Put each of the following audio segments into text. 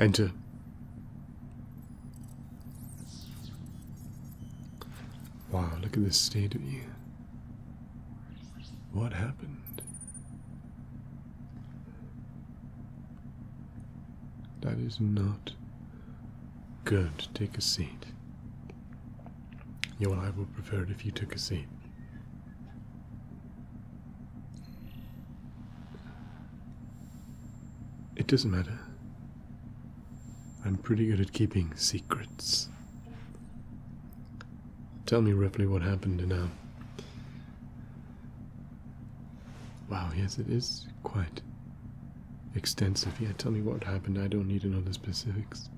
Enter. Wow, look at this state of you. What happened? That is not good. Take a seat. You and I would prefer it if you took a seat. It doesn't matter. I'm pretty good at keeping secrets. Tell me roughly what happened now. Wow, yes, it is quite extensive. Yeah, tell me what happened. I don't need to know the specifics.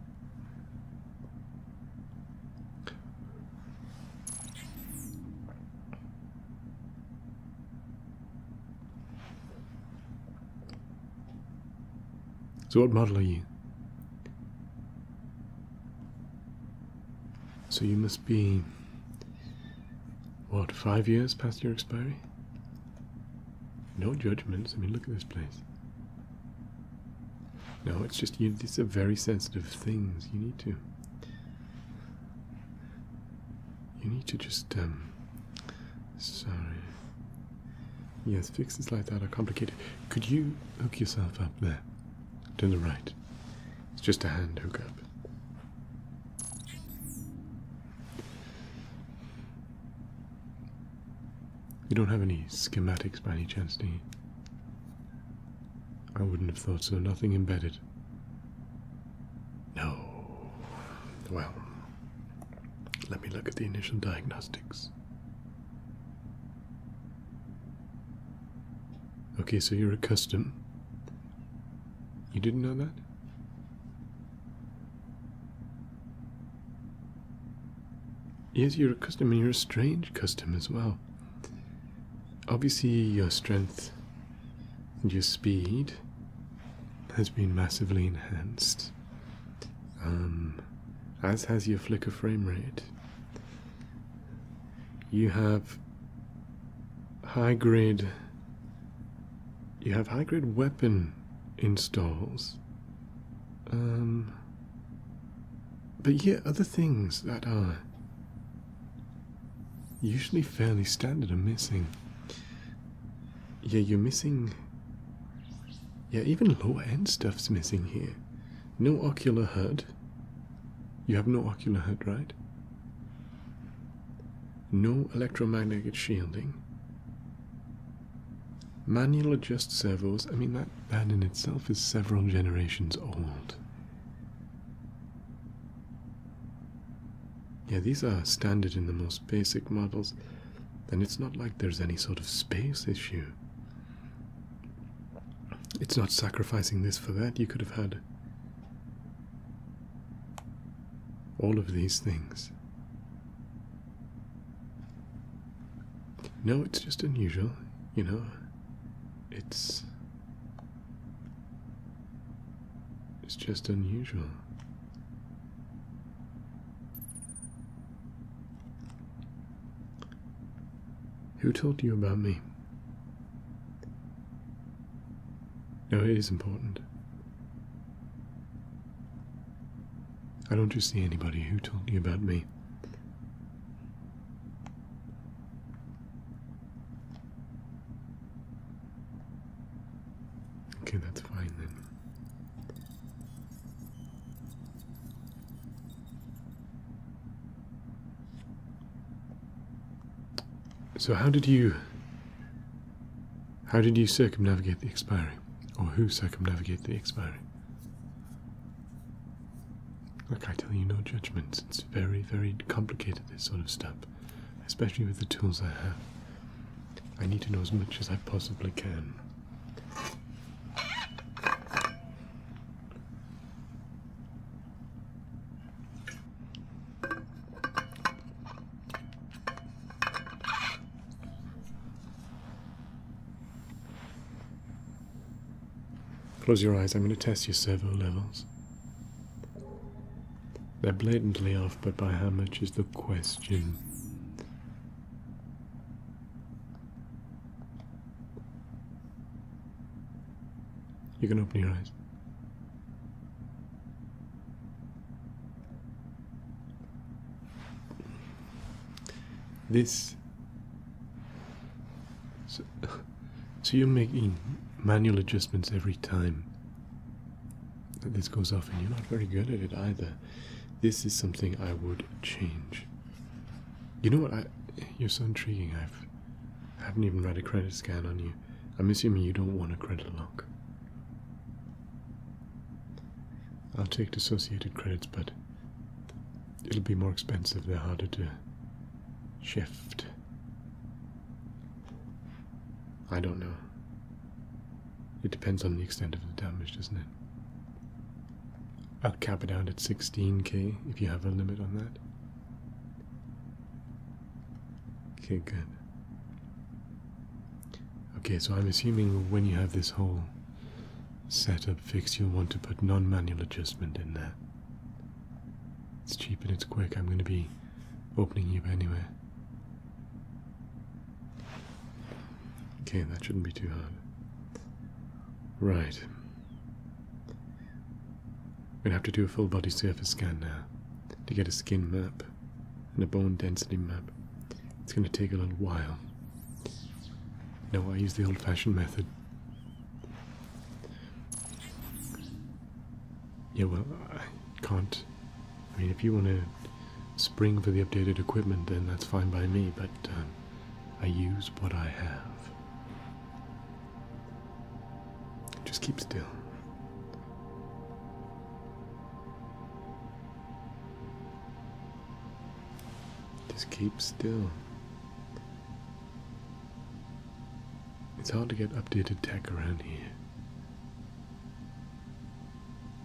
So, what model are you? So, you must be. What, five years past your expiry? No judgments. I mean, look at this place. No, it's just you. These are very sensitive things. You need to. You need to just um, Sorry. Yes, fixes like that are complicated. Could you hook yourself up there? To the right. It's just a hand hookup. You don't have any schematics by any chance, do you? I wouldn't have thought so. Nothing embedded. No. Well, let me look at the initial diagnostics. Okay, so you're a custom. You didn't know that? Yes, you're a custom and you're a strange custom as well. Obviously, your strength and your speed has been massively enhanced. Um, as has your flicker frame rate. You have high grade. You have high grade weapon installs. Um, but yet, other things that are usually fairly standard are missing. Yeah, you're missing. Yeah, even lower end stuff's missing here. No ocular HUD. You have no ocular HUD, right? No electromagnetic shielding. Manual adjust servos. I mean, that band in itself is several generations old. Yeah, these are standard in the most basic models then it's not like there's any sort of space issue. It's not sacrificing this for that. You could have had all of these things. No, it's just unusual, you know. It's. It's just unusual. Who told you about me? No, it is important. I don't just see anybody who told you about me. Okay, that's fine then. So how did you how did you circumnavigate the expiry? Or who circumnavigate the expiry? Look, I tell you, no judgments. It's very, very complicated, this sort of stuff. Especially with the tools I have. I need to know as much as I possibly can. Close your eyes, I'm going to test your servo levels. They're blatantly off, but by how much is the question? You can open your eyes. This. So, so you're making manual adjustments every time this goes off, and you're not very good at it either. This is something I would change. You know what? I, you're so intriguing. I've, I haven't even read a credit scan on you. I'm assuming you don't want a credit lock. I'll take dissociated credits, but it'll be more expensive. They're harder to shift. I don't know. It depends on the extent of the damage, doesn't it? I'll cap it out at 16k if you have a limit on that. Okay, good. Okay, so I'm assuming when you have this whole setup fixed, you'll want to put non manual adjustment in there. It's cheap and it's quick. I'm going to be opening you up anyway. Okay, that shouldn't be too hard. Right. we are gonna have to do a full body surface scan now to get a skin map and a bone density map. It's going to take a little while. No, I use the old fashioned method. Yeah, well, I can't. I mean, if you want to spring for the updated equipment, then that's fine by me, but um, I use what I have. Just keep still. Just keep still. It's hard to get updated tech around here.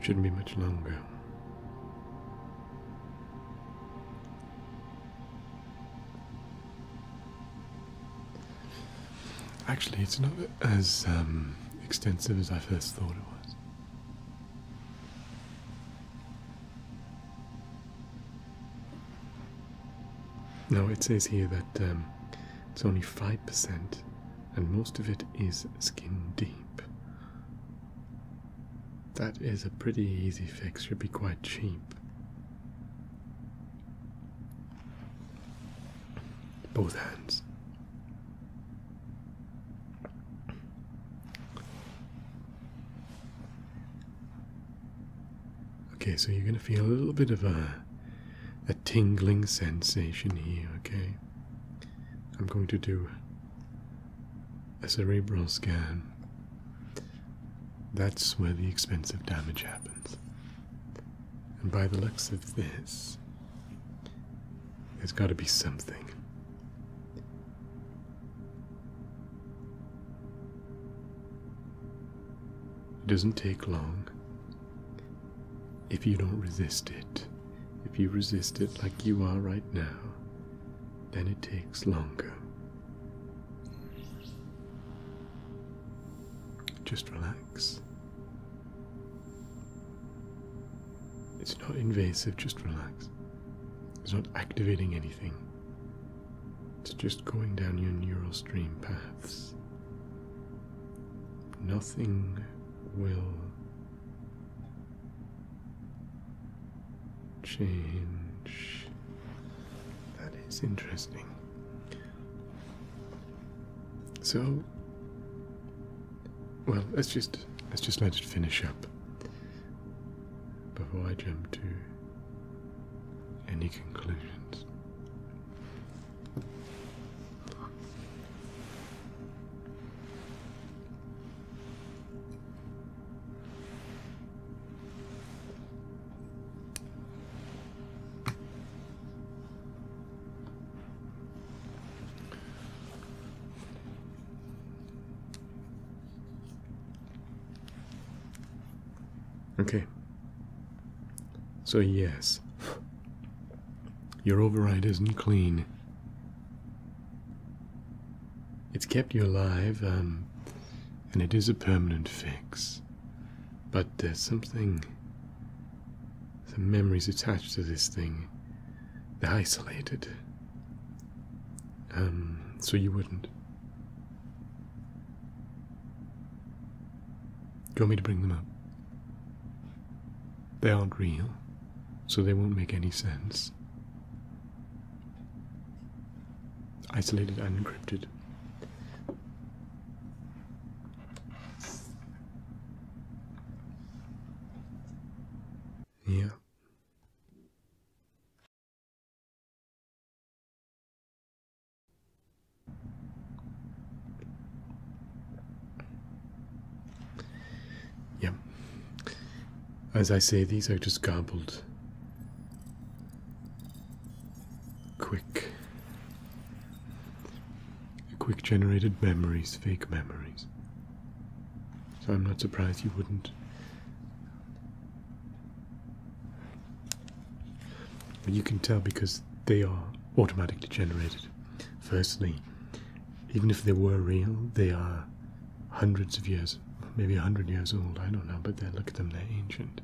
Shouldn't be much longer. Actually, it's not as um, extensive as I first thought it was. Now it says here that um, it's only 5%, and most of it is skin deep. That is a pretty easy fix, should be quite cheap. Both hands. Okay, so you're going to feel a little bit of a, a tingling sensation here, okay? I'm going to do a cerebral scan. That's where the expensive damage happens. And by the looks of this, there's got to be something. It doesn't take long if you don't resist it. If you resist it like you are right now, then it takes longer. Just relax. It's not invasive, just relax. It's not activating anything, it's just going down your neural stream paths. Nothing will change. That is interesting. So, well, let's just let's just let it finish up before I jump to any conclusions. Okay. So, yes, your override isn't clean. It's kept you alive, um, and it is a permanent fix. But there's something. Some memories attached to this thing they're isolated. Um, so you wouldn't. Do you want me to bring them up? They aren't real, so they won't make any sense. Isolated and encrypted. Yeah. Yeah. As I say, these are just gobbled quick quick generated memories, fake memories. So I'm not surprised you wouldn't and you can tell because they are automatically generated. Firstly, even if they were real, they are hundreds of years, maybe a hundred years old, I don't know, but they look at them, they're ancient.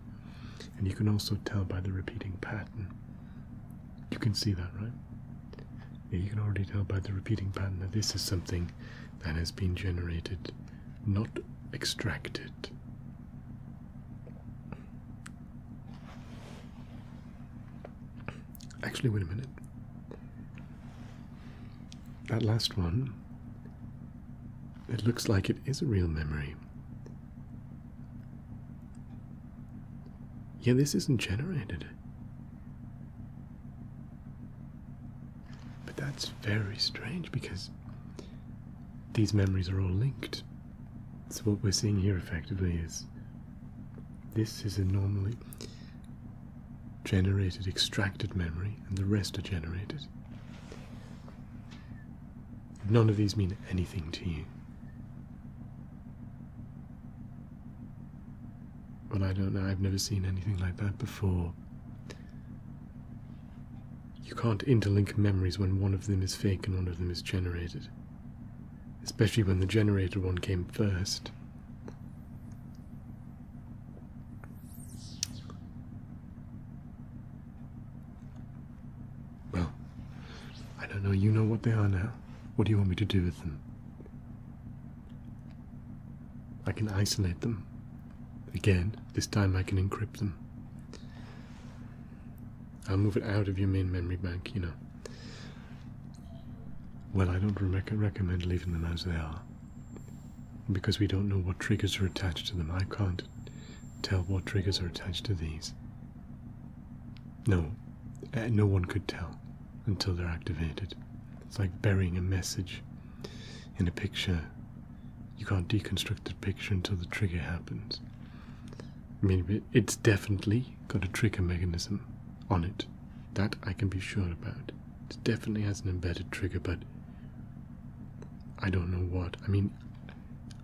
And you can also tell by the repeating pattern. You can see that, right? you can already tell by the repeating pattern that this is something that has been generated not extracted. Actually, wait a minute. That last one, it looks like it is a real memory. Yeah, this isn't generated. But that's very strange because these memories are all linked. So, what we're seeing here effectively is this is a normally generated, extracted memory, and the rest are generated. None of these mean anything to you. Well, I don't know. I've never seen anything like that before. You can't interlink memories when one of them is fake and one of them is generated. Especially when the generated one came first. Well, I don't know. You know what they are now. What do you want me to do with them? I can isolate them. Again, this time I can encrypt them. I'll move it out of your main memory bank, you know. Well, I don't recommend leaving them as they are. Because we don't know what triggers are attached to them. I can't tell what triggers are attached to these. No, uh, no one could tell until they're activated. It's like burying a message in a picture. You can't deconstruct the picture until the trigger happens. I mean, it's definitely got a trigger mechanism on it. That I can be sure about. It definitely has an embedded trigger, but I don't know what. I mean,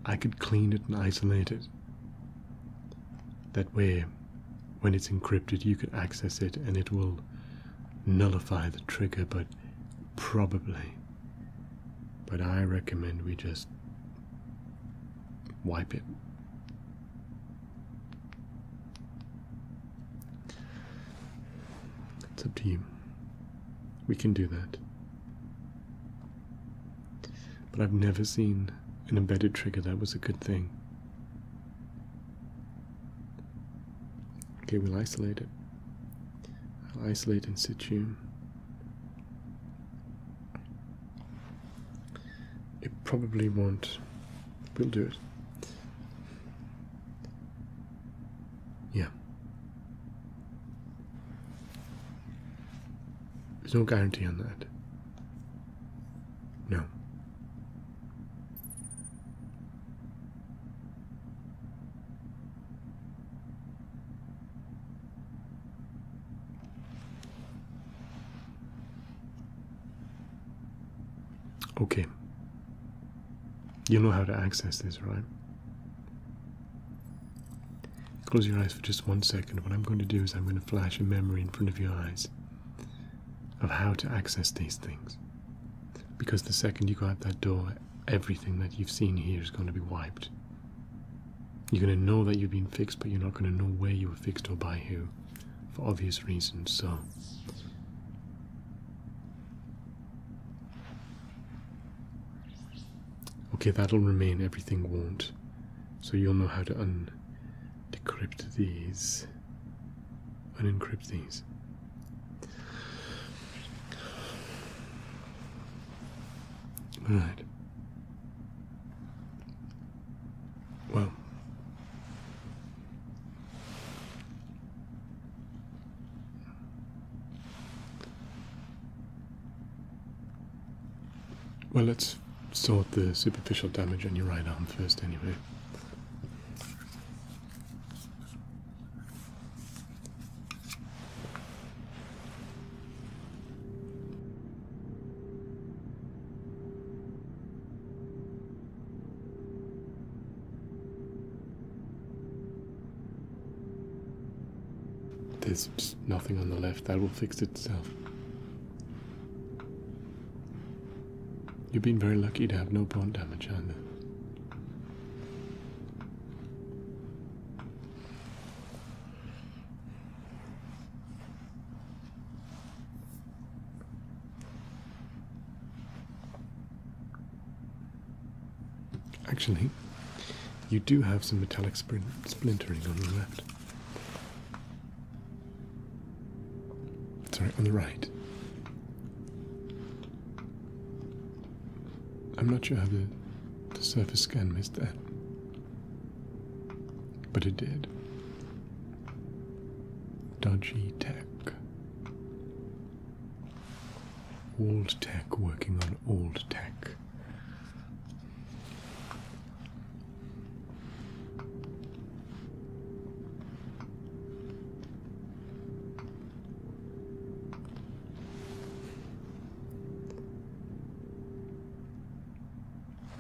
I could clean it and isolate it. That way, when it's encrypted, you can access it and it will nullify the trigger, but probably. But I recommend we just wipe it. It's up to you. We can do that. But I've never seen an embedded trigger that was a good thing. Okay, we'll isolate it. I'll isolate in situ. It probably won't. We'll do it. Yeah. There's no guarantee on that. No. Okay. You know how to access this, right? Close your eyes for just one second. What I'm going to do is I'm going to flash a memory in front of your eyes of how to access these things. Because the second you go out that door, everything that you've seen here is going to be wiped. You're going to know that you've been fixed, but you're not going to know where you were fixed or by who, for obvious reasons. So, okay, that'll remain, everything won't. So, you'll know how to un decrypt these and encrypt these. Right. Well, well, let's sort the superficial damage on your right arm first, anyway. There's nothing on the left. That will fix itself. You've been very lucky to have no bone damage Anna. Actually, you do have some metallic splintering on the left. Sorry, on the right. I'm not sure how the, surface scan missed that, but it did. Dodgy tech. Old tech working on old tech.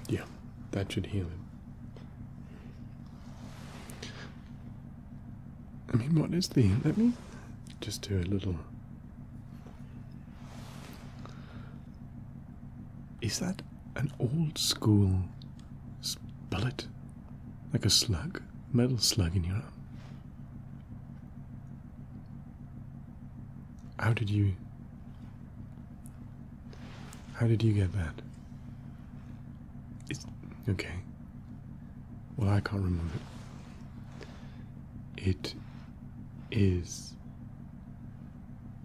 Yeah, that should heal it. I mean, what is the. Let me just do a little. Is that an old school bullet? Like a slug? Metal slug in your arm? How did you. How did you get that? It's. Okay. Well, I can't remove it. It is.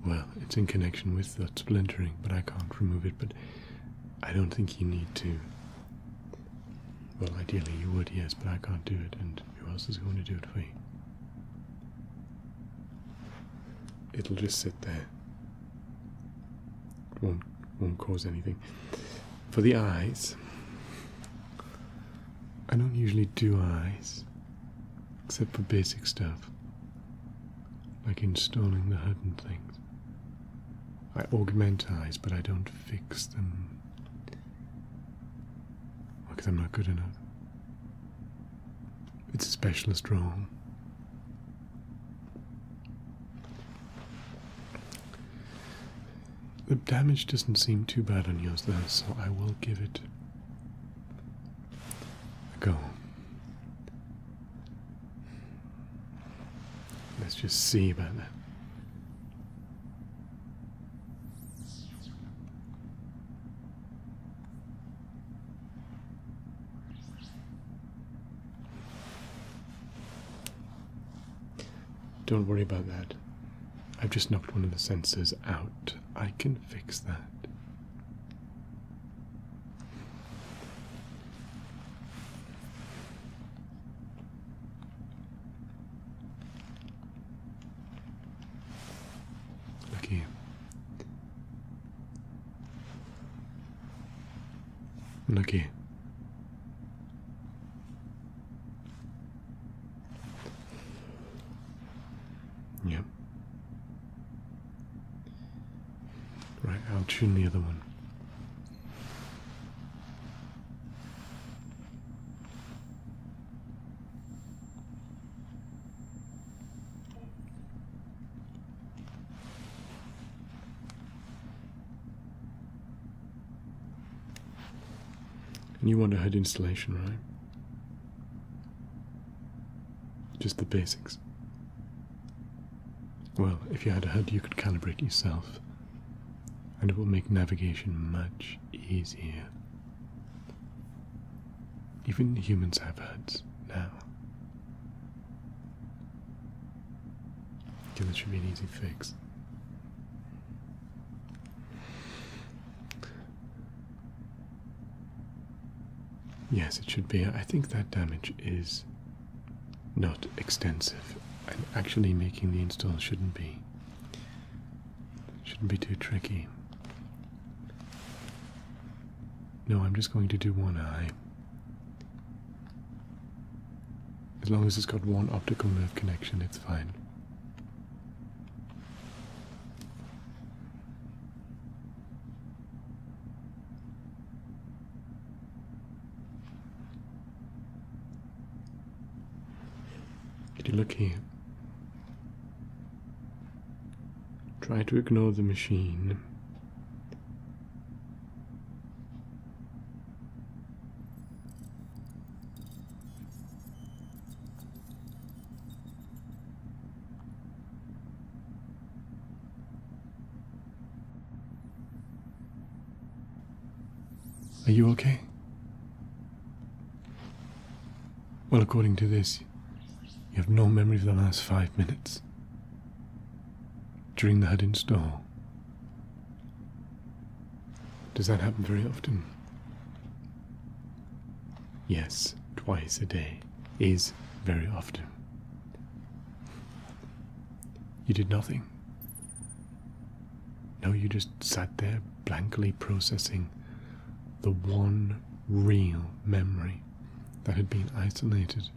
Well, it's in connection with the splintering, but I can't remove it. But I don't think you need to. Well, ideally you would, yes, but I can't do it, and who else is going to do it for you? It'll just sit there. It won't, won't cause anything. For the eyes, I don't usually do eyes, except for basic stuff, like installing the hidden things. I augment eyes, but I don't fix them because I'm not good enough. It's a specialist role. The damage doesn't seem too bad on yours, though, so I will give it a go. Let's just see about that. Don't worry about that. I've just knocked one of the sensors out. I can fix that. Okay. Okay. Yep. Right, I'll tune the other one. And you want a head installation, right? Just the basics. Well, if you had a head, you could calibrate yourself and it will make navigation much easier. Even humans have HUDs now. Okay, this should be an easy fix. Yes, it should be. I think that damage is not extensive, and actually making the install shouldn't be Shouldn't be too tricky. No, I'm just going to do one eye. As long as it's got one optical nerve connection, it's fine. If you look here? Try to ignore the machine. Are you okay? Well, according to this, you have no memory of the last five minutes. During the Huddin store. Does that happen very often? Yes, twice a day is very often. You did nothing. No, you just sat there blankly processing the one real memory that had been isolated.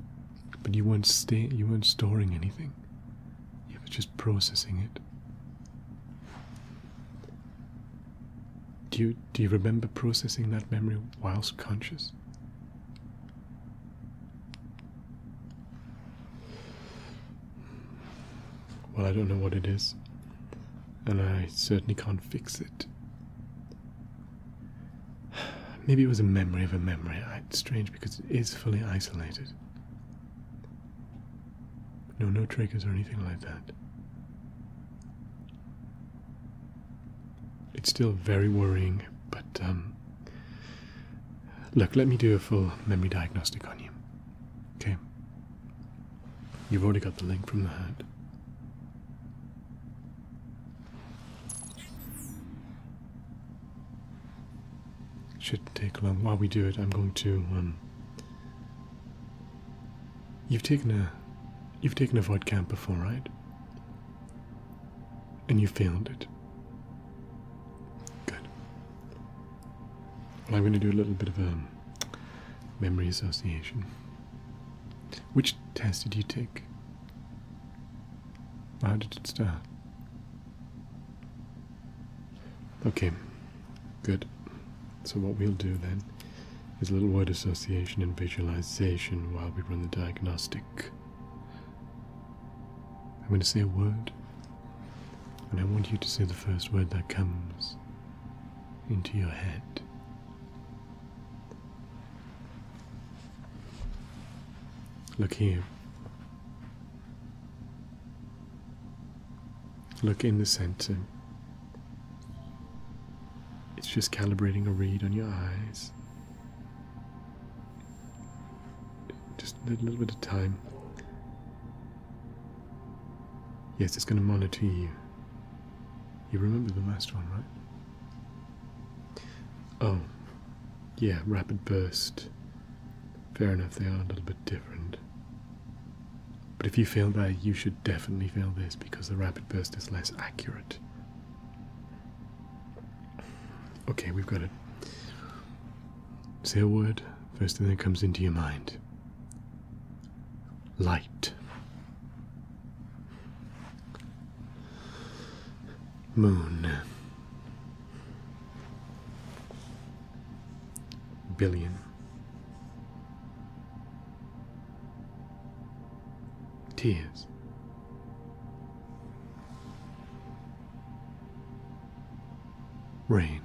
But you weren't storing anything. You were just processing it. Do you do you remember processing that memory whilst conscious? Well, I don't know what it is, and I certainly can't fix it. Maybe it was a memory of a memory. It's strange because it is fully isolated. No, no triggers or anything like that. It's still very worrying, but um, look, let me do a full memory diagnostic on you. Okay. You've already got the link from the hat. Should not take long. While we do it, I'm going to. Um, you've taken a, you've taken a void camp before, right? And you failed it. Good. I'm going to do a little bit of a memory association. Which test did you take? How did it start? Okay, good. So, what we'll do then is a little word association and visualization while we run the diagnostic. I'm going to say a word, and I want you to say the first word that comes into your head. Look here. Look in the center. It's just calibrating a read on your eyes. Just a little bit of time. Yes, it's going to monitor you. You remember the last one, right? Oh, yeah, rapid burst. Fair enough, they are a little bit different. But if you fail that, you should definitely fail this because the rapid burst is less accurate. Okay, we've got it. Say a word, first thing that comes into your mind. Light. Moon. Billion. Tears. Rain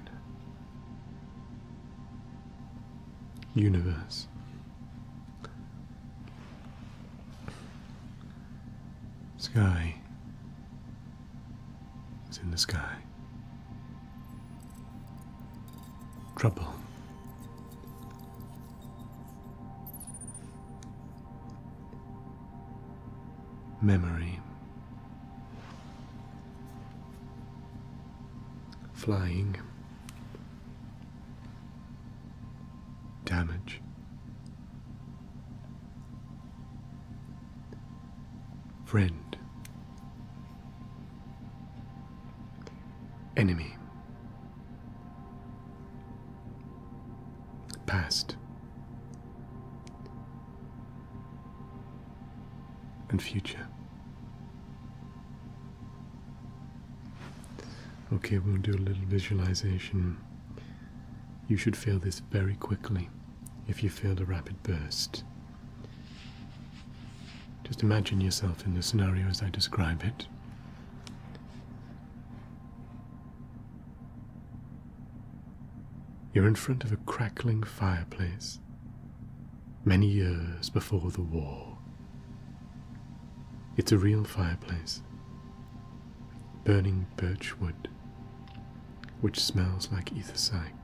universe. Sky is in the sky. Trouble memory Flying. Damage. Friend. Enemy. Past and future. Okay, we'll do a little visualization. You should feel this very quickly if you feel the rapid burst. Just imagine yourself in the scenario as I describe it. You're in front of a crackling fireplace, many years before the war. It's a real fireplace, burning birch wood, which smells like ether psych.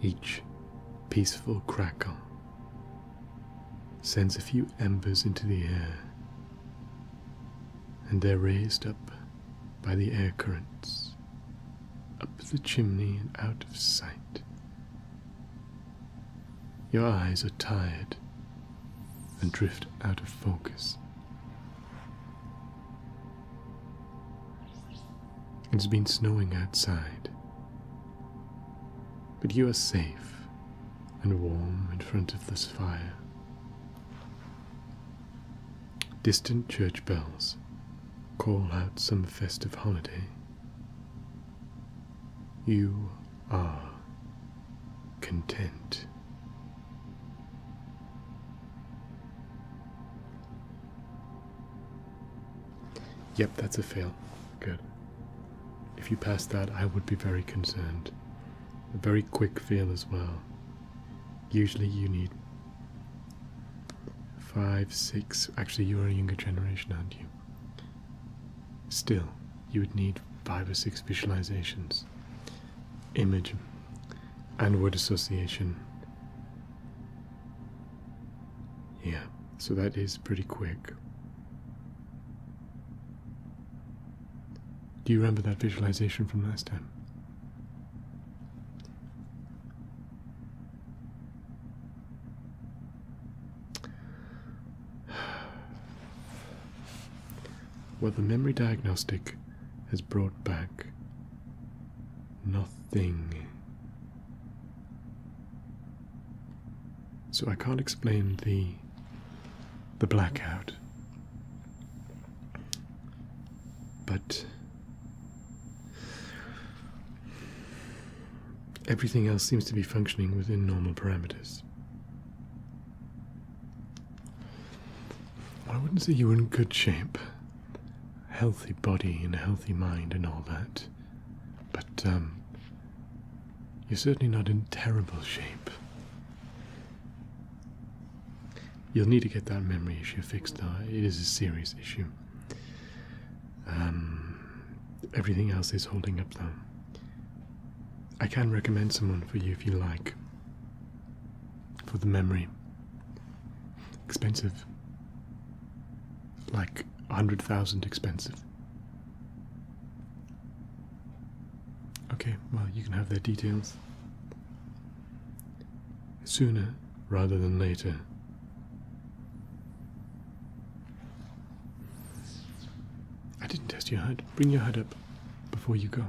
Each peaceful crackle sends a few embers into the air, and they're raised up by the air currents, up the chimney and out of sight. Your eyes are tired and drift out of focus. It's been snowing outside, but you are safe and warm in front of this fire. Distant church bells call out some festive holiday. You are content. Yep, that's a fail. Good. If you pass that, I would be very concerned. A very quick fail as well. Usually you need Five, six. Actually, you're a younger generation, aren't you? Still, you would need five or six visualizations, image, and word association. Yeah, so that is pretty quick. Do you remember that visualization from last time? What the memory diagnostic has brought back nothing. So I can't explain the the blackout. But Everything else seems to be functioning within normal parameters. I wouldn't say you are in good shape. Healthy body and healthy mind and all that. But, um, you're certainly not in terrible shape. You'll need to get that memory issue fixed, though. It is a serious issue. Um, everything else is holding up, though. I can recommend someone for you if you like. For the memory. Expensive. Like a hundred thousand expensive. Okay, well, you can have their details sooner rather than later. I didn't test your head. Bring your head up before you go.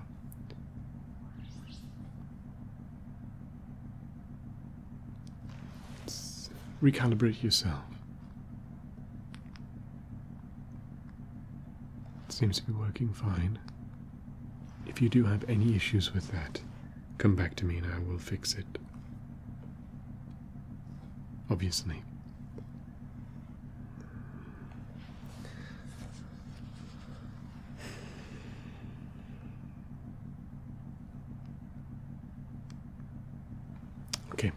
recalibrate yourself. It seems to be working fine. If you do have any issues with that, come back to me and I will fix it. Obviously. Okay.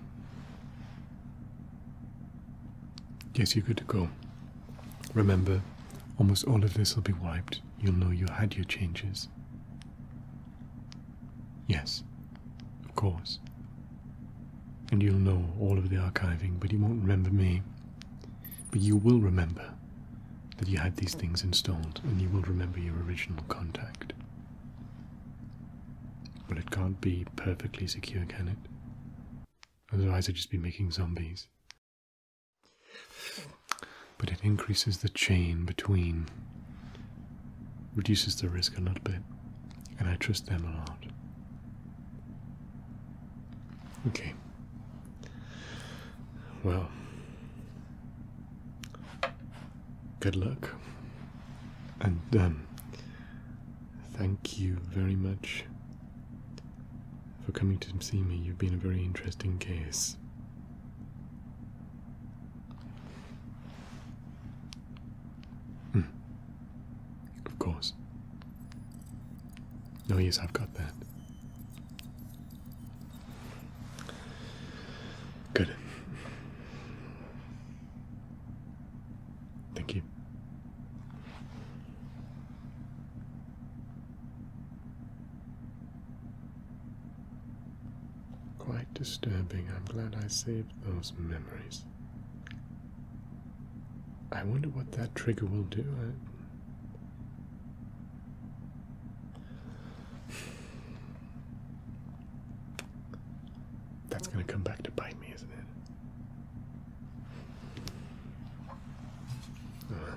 Yes, you're good to go. Remember, almost all of this will be wiped you'll know you had your changes. Yes, of course. And you'll know all of the archiving, but you won't remember me. But you will remember that you had these things installed, and you will remember your original contact. But it can't be perfectly secure, can it? Otherwise, I'd just be making zombies. But it increases the chain between, reduces the risk a little bit, and I trust them a lot. Okay. Well, good luck. And um, thank you very much for coming to see me. You've been a very interesting case. Hmm. Of course. No, oh, yes, I've got that. Good. Thank you. Quite disturbing. I'm glad I saved those memories. I wonder what that trigger will do. That's going to come back to bite me, isn't it? Uh.